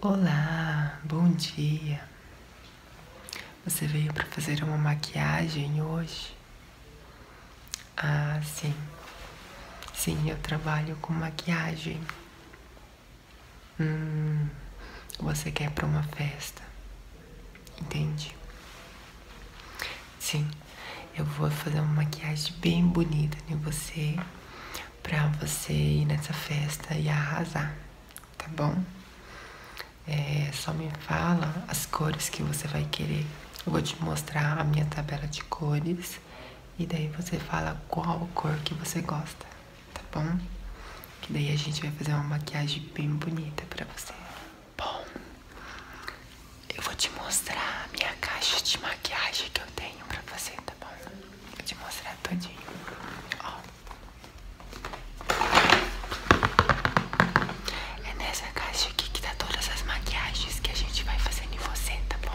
Olá, bom dia. Você veio para fazer uma maquiagem hoje? Ah, sim. Sim, eu trabalho com maquiagem. Hum, você quer para uma festa? Entende? Sim, eu vou fazer uma maquiagem bem bonita de você pra você ir nessa festa e arrasar, tá bom? É, só me fala as cores que você vai querer. Eu vou te mostrar a minha tabela de cores e daí você fala qual cor que você gosta, tá bom? Que daí a gente vai fazer uma maquiagem bem bonita pra você. Bom, eu vou te mostrar a minha caixa de maquiagem que eu tenho pra fazer, tá bom? Vou te mostrar todinho. Ó. É nessa caixa aqui que tá todas as maquiagens que a gente vai fazendo em você, tá bom?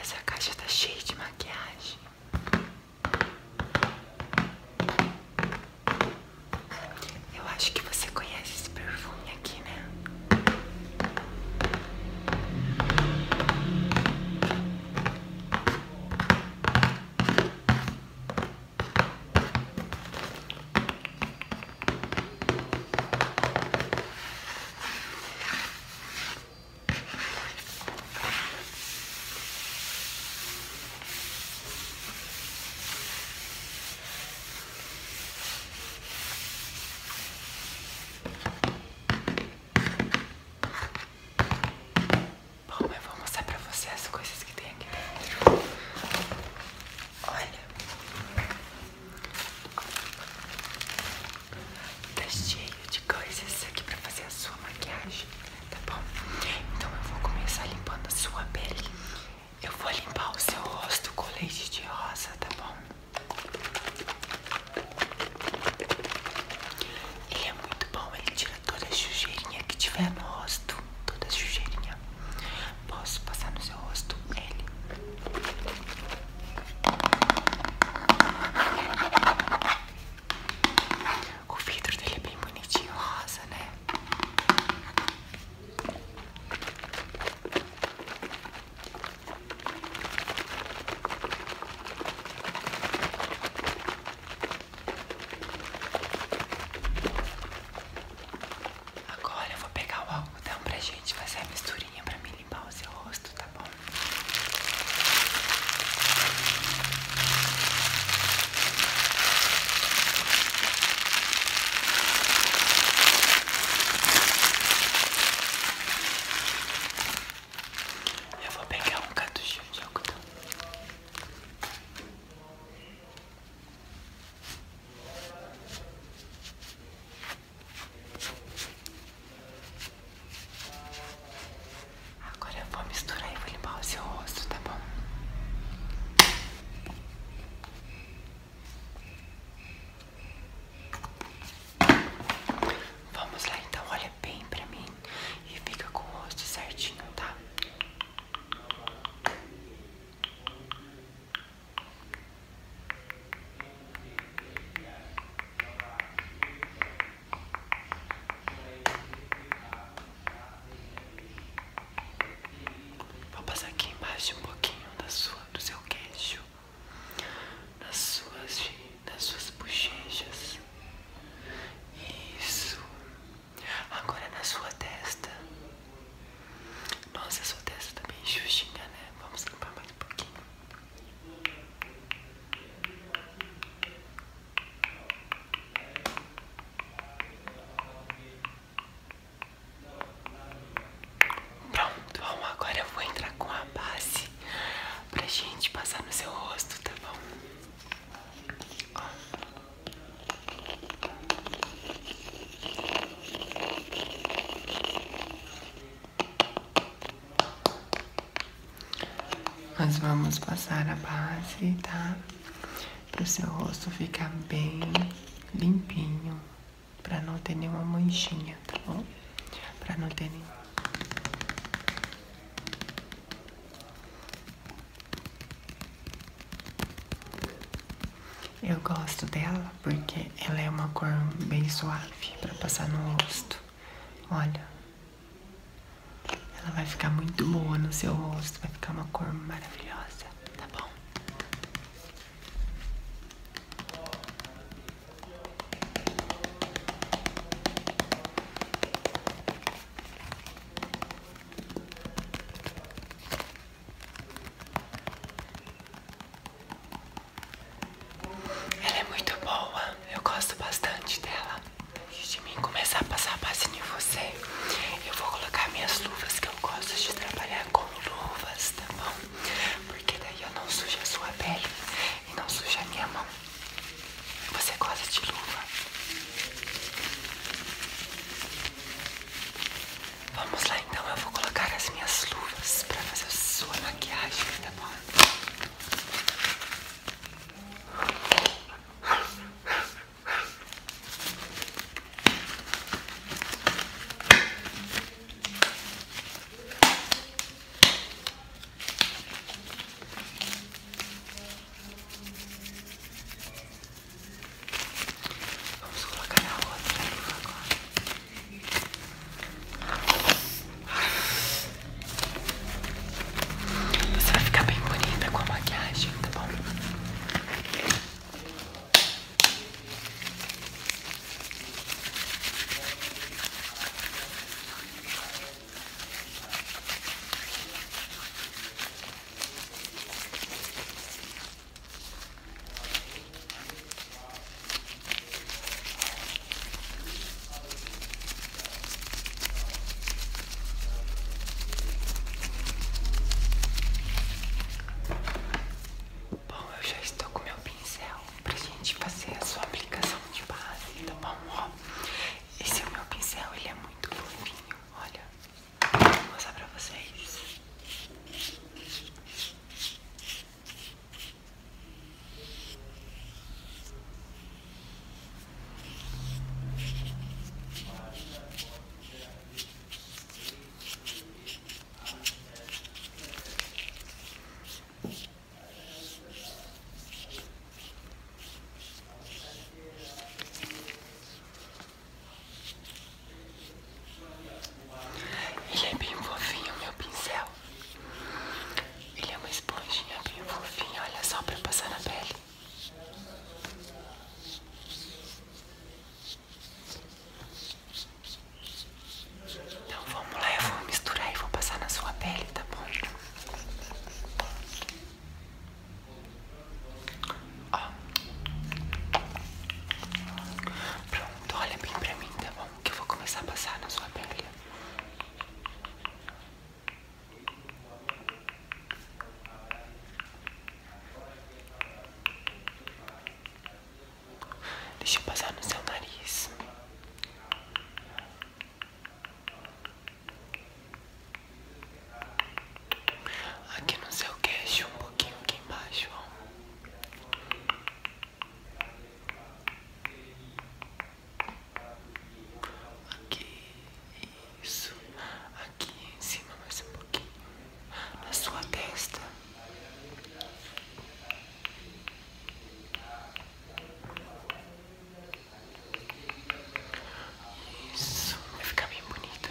Essa caixa está cheia de maquiagem. Eu acho que você conhece esse perfume aqui, né? Bom, eu vou mostrar pra você as coisas que tem aqui dentro. Olha, Tá cheio de coisas aqui pra fazer a sua maquiagem, tá bom? Então eu vou começar limpando a sua pele. Eu vou limpar o seu rosto com leite de rosa, tá bom? Ele é muito bom, ele tira toda a sujeirinha que tiver no rosto, toda a sujeirinha posso passar no seu rosto ele. O vidro dele é bem bonitinho, rosa, né? Agora eu vou pegar o algodão pra gente fazer a misturinha pra me limpar o seu rosto, tá bom? Eu vou pegar um cartucho de algodão. Agora eu vou misturar e vou limpar o seu rosto, tá bom? Vamos lá então, olha bem pra mim e fica com o rosto certinho, tá? Vou passar aqui embaixo um pouquinho da sua, do seu queixo, nas suas, nas suas bochechas. Isso. Agora na sua testa. Nossa, sua testa tá bem xuxinha, né? Vamos limpar mais um pouquinho. Pronto, bom, agora eu vou entrar com a base pra gente passar no seu rosto, tá bom? Ó. Nós vamos passar a base, tá? Para o seu rosto ficar bem limpinho, para não ter nenhuma manchinha, tá bom? Para não ter nenhum eu gosto dela porque ela é uma cor bem suave para passar no rosto. Olha, ela vai ficar muito boa no seu rosto, vai ficar uma cor maravilhosa, tá bom? Ela é muito boa, eu gosto bastante dela. Antes de mim começar a passar a passinho em você, eu vou colocar minhas luvas que eu gosto de trabalhar com luvas, tá bom? Porque daí eu não sujo a sua pele e não sujo a minha mão. Você gosta de luva? Vamos lá então, eu vou colocar as minhas luvas para fazer sua maquiagem, tá bom? Vamos colocar a outra agora. Você vai ficar bem bonita com a maquiagem, tá bom? Bom, eu já estou com meu pincel para gente fazer a sua aplicação de base, tá bom? esse é o meu pincel, ele é muito fofinho, olha. Vou mostrar para vocês. Ele é bem fofinho, meu pincel. Ele é uma esponjinha bem fofinha, olha só pra passar na pele. Então vamos lá, eu vou misturar e vou passar na sua pele, tá bom? Pronto, olha bem pra mim, tá bom? Que eu vou começar a passar na sua pele. Deixa eu passar no seu nariz aqui no seu queixo, um pouquinho aqui embaixo, Aqui, isso. Aqui em cima, mais um pouquinho. Na sua testa. Isso, vai ficar bem bonita.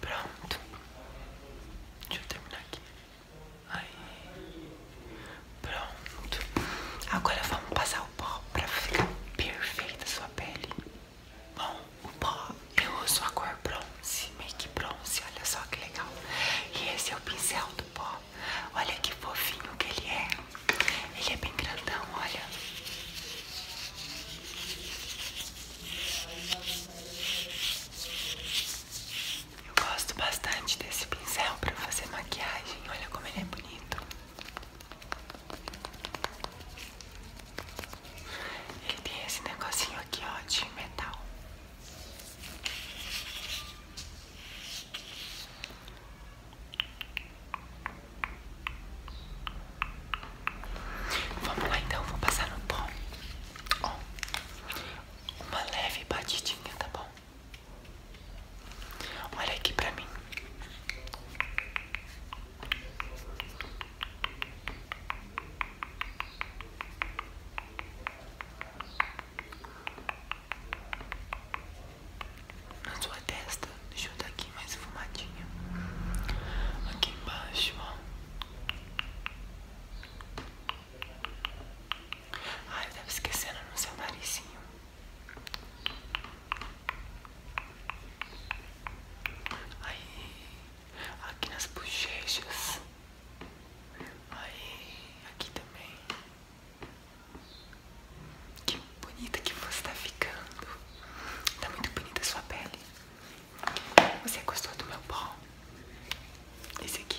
Pronto, deixa eu terminar aqui. Aí, Pronto. Agora vamos passar o pó pra ficar perfeita a sua pele. Bom, o pó eu uso a cor bronze, make bronze, olha só que legal. E esse é o pincel do pó. Olha que fofinho que ele é. Ele é bem grandão, olha. Eu gosto bastante desse pincel para fazer maquiagem. Olha como ele é bonito. Ele tem esse negocinho aqui, ó, de metal. Vamos lá então, vou passar no pó. uma leve batidinha, tá bom? Olha aqui pra mim. Na sua testa, deixa eu dar aqui mais fumadinha Aqui embaixo, ó. Ai, eu tava esquecendo no seu narizinho. Aí, aqui nas bochechas. Aí, aqui também. Que bonita que você está ficando. está muito bonita a sua pele. Você gostou do meu pó? Esse aqui.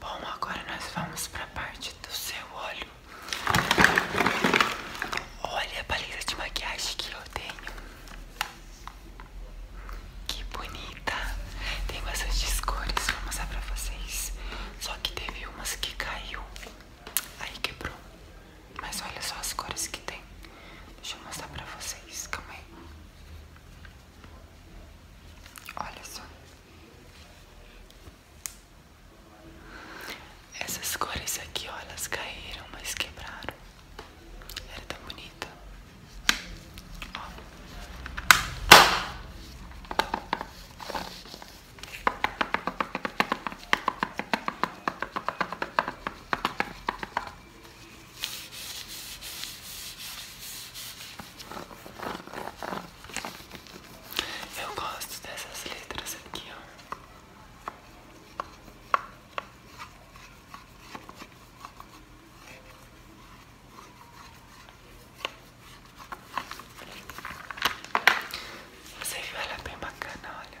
Bom, agora nós vamos para a parte do seu olho. Olha a paleta de maquiagem que eu tenho. Que bonita. Tem bastante cores, vou mostrar pra vocês. Só que teve umas que caiu. Aí quebrou. Mas olha só as cores que tem. Deixa eu mostrar pra vocês. Calma aí. Olha só. Essas cores aqui, olha elas caíram, mas quebraram. era tão bonita. Ó. Eu gosto dessas letras aqui, Você viu, ela é bem bacana, olha.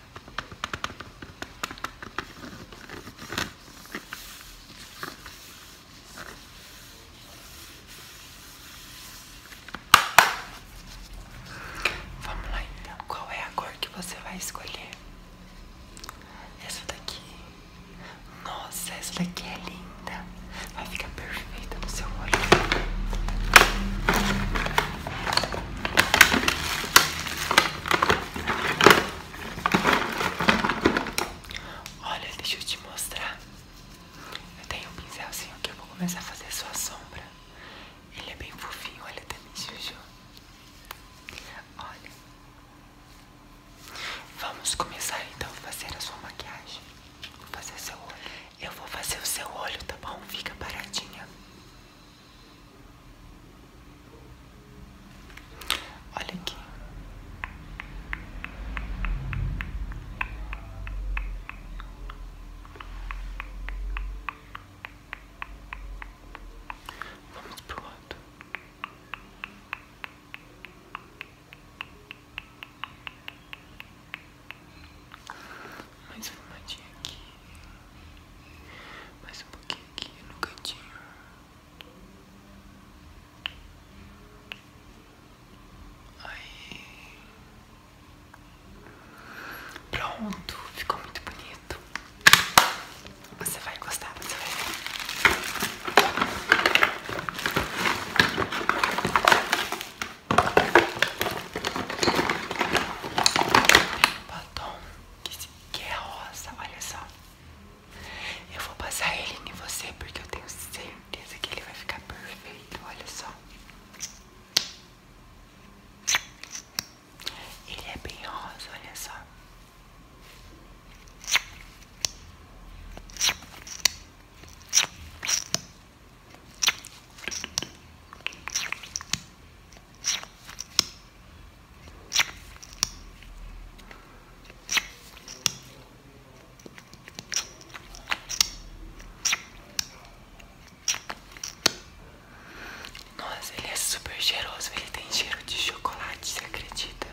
Vamos lá então. Qual é a cor que você vai escolher? Essa daqui. Nossa, essa daqui é linda. Vai ficar perfeita no seu olho. Olha, deixa eu te mostrar. Eu tenho um pincelzinho que eu vou começar a fazer sua sombra. Ele é bem fofinho, olha também, tá Juju. Olha. Vamos começar então a fazer a sua maquiagem. Vou fazer o seu olho. Eu vou fazer o seu olho, tá bom? Fica paradinha. Olha aqui. Vamos pro lado mais formadinha aqui, mais um pouquinho aqui no cantinho. Aí. Pronto, ficou muito bonito. Você vai gostar, você vai Batom que é rosa, olha só. Eu vou passar ele em você porque eu tenho certeza que ele vai ficar perfeito, olha só. Ele é bem rosa, olha só. Nossa, ele é super cheiroso, ele tem cheiro de chocolate, você acredita?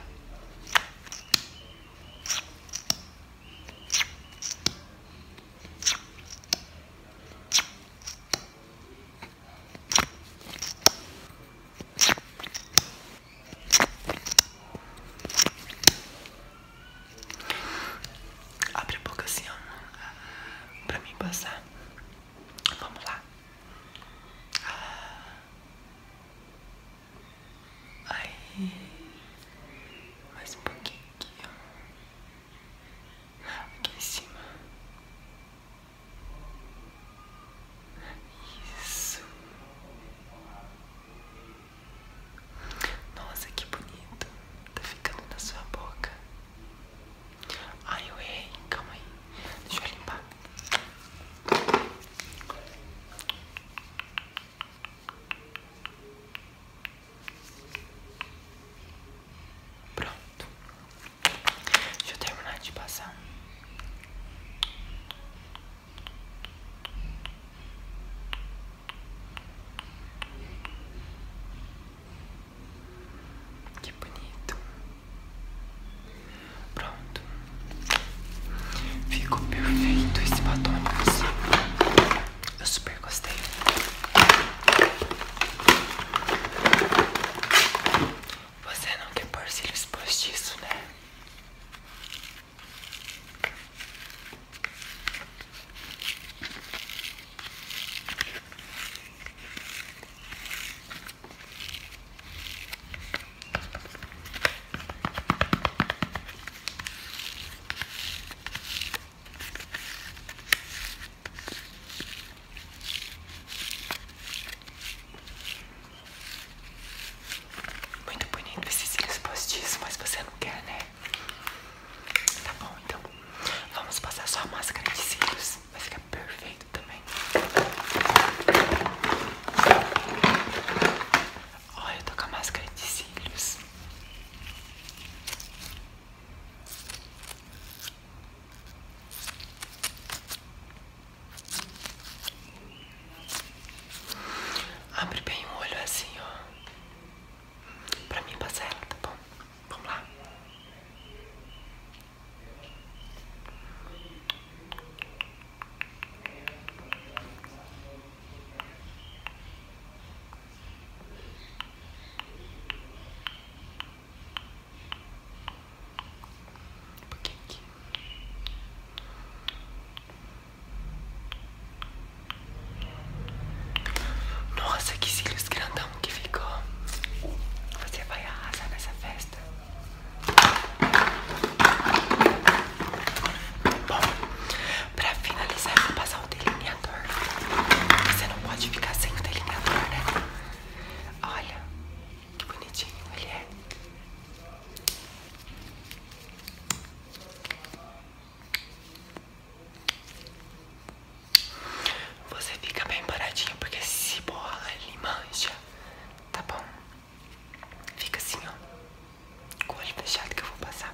Abre a boca assim, ó, pra mim passar. Vamos lá. Aí, mais um pouquinho aqui, Aqui em cima. Isso. Nossa, que bonito. Tá ficando na sua boca. Ai, eu Calma aí. Deixa eu limpar. Pronto. Deixa eu terminar de passar. Que bonito. Pronto. Ficou perfeito esse batom. Eu super gostei. Você não quer pôr cílios postiço, né? Muito bonito esses cílios postiços, mas você não quer, né? Tá bom, então vamos passar só a máscara de cílios, vai ficar perfeito também. Olha, eu tô com a máscara de cílios. Abre bem o olho assim, ó. Pra mim passar ela, tá bom? Vamos lá. Nossa, que cílios grandão que ficou. Você vai arrasar nessa festa. Bom, pra finalizar, vou passar o delineador. Você não pode ficar sem o delineador, né? Olha que bonitinho ele é. Você fica bem paradinho, porque se bola ele mancha, tá bom? Fica assim, ó, com o olho fechado que eu vou passar.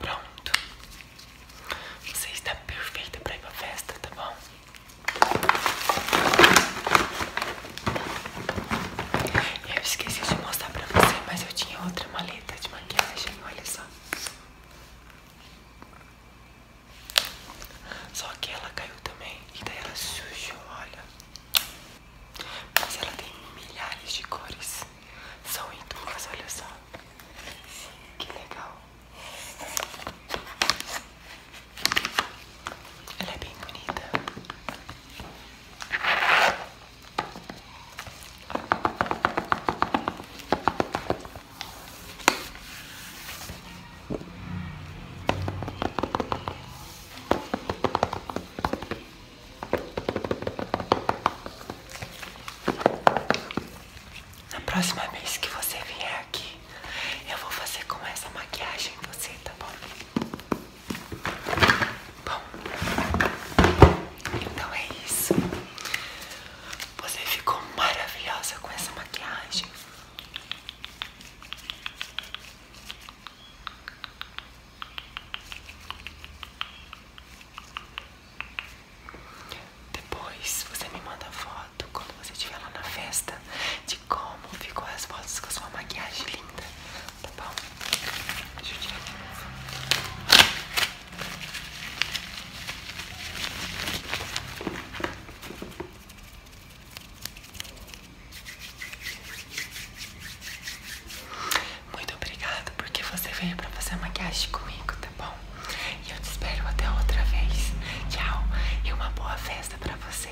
Pronto, você está perfeita para ir para festa, tá bom? Eu esqueci de mostrar para você, mas eu tinha outra maleta de maquiagem, olha só. Só que ela caiu também e daí ela sujou, olha. Mas ela tem milhares de cores. São em olha só. Que legal. Ela é bem bonita. Na próxima vez que você vier aqui, eu vou fazer com essa maquiagem você, tá bom? Bom, então é isso. Você ficou maravilhosa com essa maquiagem. Depois você me manda foto quando você estiver lá na festa de como ficou as fotos com a sua maquiagem linda, tá bom? Deixa eu tirar aqui. Muito obrigada porque você veio pra fazer maquiagem comigo, tá bom? E eu te espero até outra vez. Tchau e uma boa festa pra você.